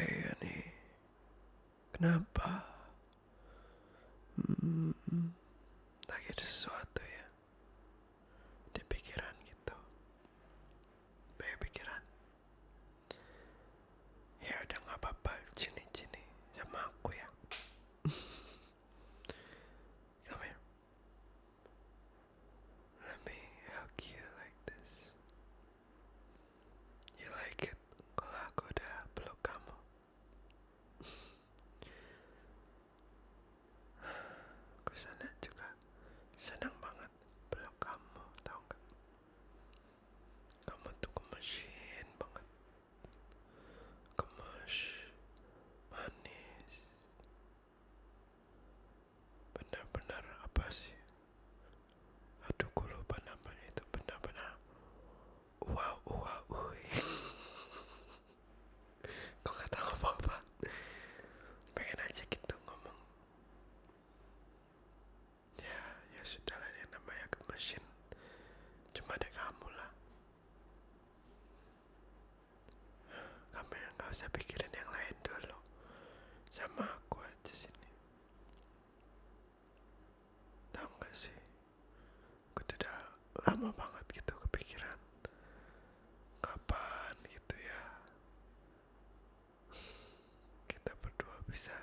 Eh iya Ani, kenapa? Hmm, lagi ada sesuatu ya di pikiran gitu. Banyak pikiran. Ya udah nggak apa-apa, sini-sini sama aku ya. Come Let me hug you like this. You like it kalau aku udah peluk kamu? aku senang juga, senang banget peluk kamu, tau gak? Kamu tuh gemesin banget, gemes, manis benar-benar apa sih aduh gue lupa namanya itu benar-benar wow wow ui kau gak tahu apa-apa pengen aja gitu ngomong ya ya sudah lah yang namanya ke mesin cuma ada kamu lah kamu yang nggak usah pikirin yang lain dulu sama aku aja sini tahu nggak sih aku tidak lama banget gitu kepikiran kapan gitu ya kita berdua bisa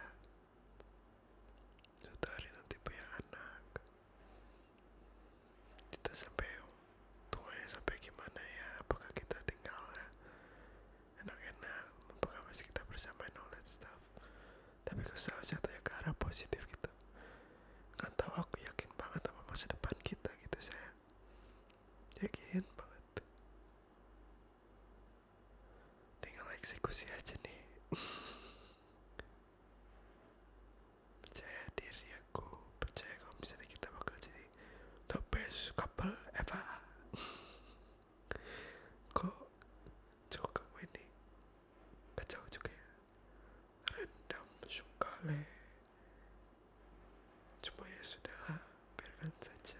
suatu hari nanti punya anak kita sampai tuanya sampai gimana ya apakah kita tinggal ya? enak-enak apakah masih kita bersama and all that stuff tapi kesal jatuhnya ke arah positif kita, gitu. nggak tahu aku yakin banget sama masa depan kita gitu saya yakin banget tinggal eksekusi aja nih percaya diri aku percaya kalau misalnya kita bakal jadi the best couple ever kok cowok kamu ini kacau juga ya rendam sekali cuma ya sudah biarkan saja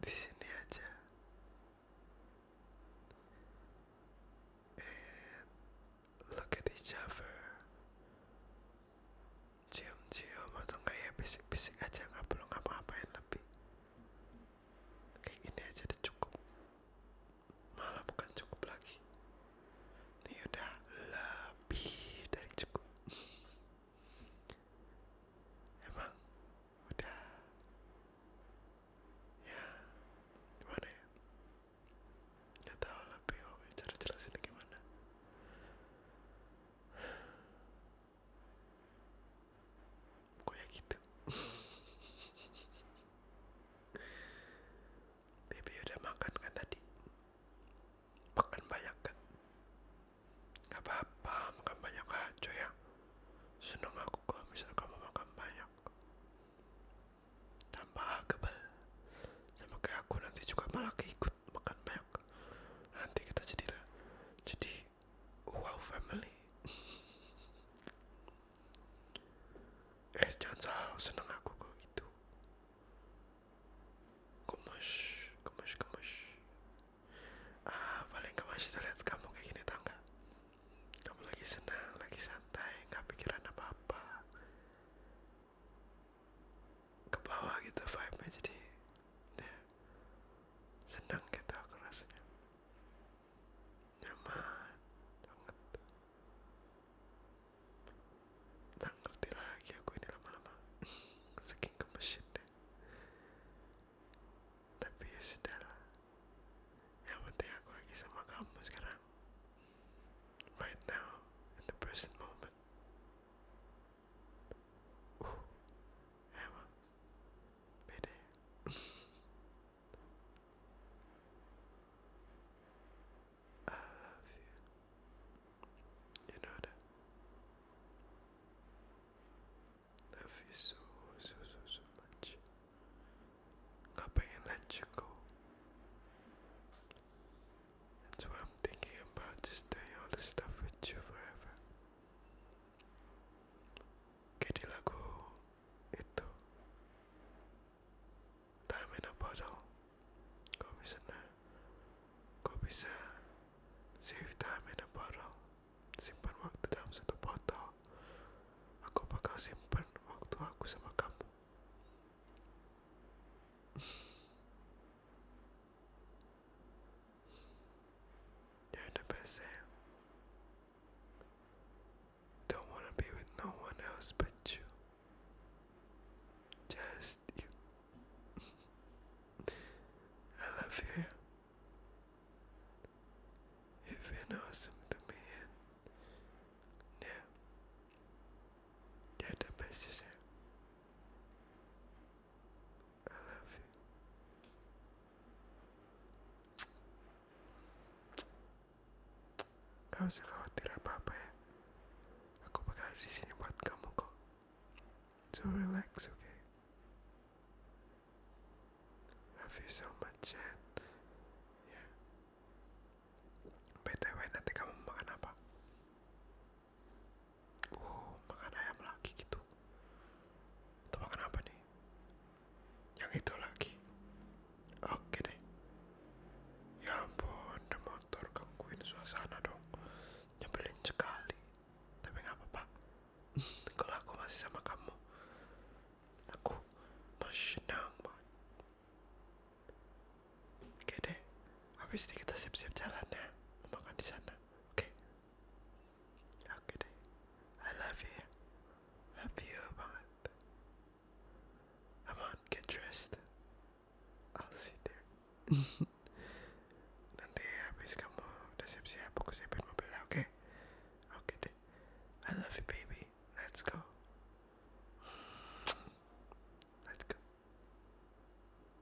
di sini aja. eh, look at each other. Cium-cium atau enggak ya bisik-bisik aja nggak perlu ngapa-ngapain lebih. Kayak gini aja udah cukup. Malah bukan cukup lagi. Ini udah lebih dari cukup. emang udah ya gimana ya nggak tahu lebih om ya, cara jelasin gimana gue ya gitu Baby udah makan kan tadi? makan banyak kan Gak apa makan banyak aja ya. Seneng aku kok misal kamu makan banyak. Tambah kebal. Sama kayak aku nanti juga malah keikut makan banyak. Nanti kita jadi jadi wow family. eh jangan salah, seneng aku kok itu gemes gemes gemes ah paling gemes itu lihat kamu kayak gini tau kamu lagi senang lagi santai nggak pikiran apa apa ke bawah gitu vibe nya jadi deh, ya, senang gitu aku rasanya nyaman banget Tak ngerti aku ini lama-lama Saking gemesin deh Tapi ya sudah lah penting aku lagi sama kamu sekarang Right now In the present moment Uh Emang Beda ya? I love you. You know that? I love you so, so, so, so much. Gak pengen let you go. That's why I'm thinking about just doing all this stuff with you forever. Kayak di lagu itu time in a bottle na, kau bisa save time in a bottle simpan waktu dalam satu botol aku bakal simpan waktu aku sama kamu you're the best eh? Don't want to be with no one else but you. Just you. I love you. You've been awesome to me, and yeah, you're the best I love you. Gak usah khawatir apa-apa ya. Aku bakal ada di sini buat kamu kok. So relax, oke? Love you so much, Yeah. BTW, nanti kamu makan apa? Oh, makan ayam lagi gitu tebakan apa nih yang itu lagi oke deh ya ampun ada motor gangguin suasana dong nyebelin sekali tapi nggak apa-apa kalau aku masih sama kamu aku masih nyaman oke deh habis ini kita siap-siap jalannya, ya makan di sana oke How I love you. Love you, Amant. Amant, get dressed. I'll sit there. Nanti habis kamu udah aku siapin mobilnya, oke? Okay? I love you, baby. Let's go. Let's go.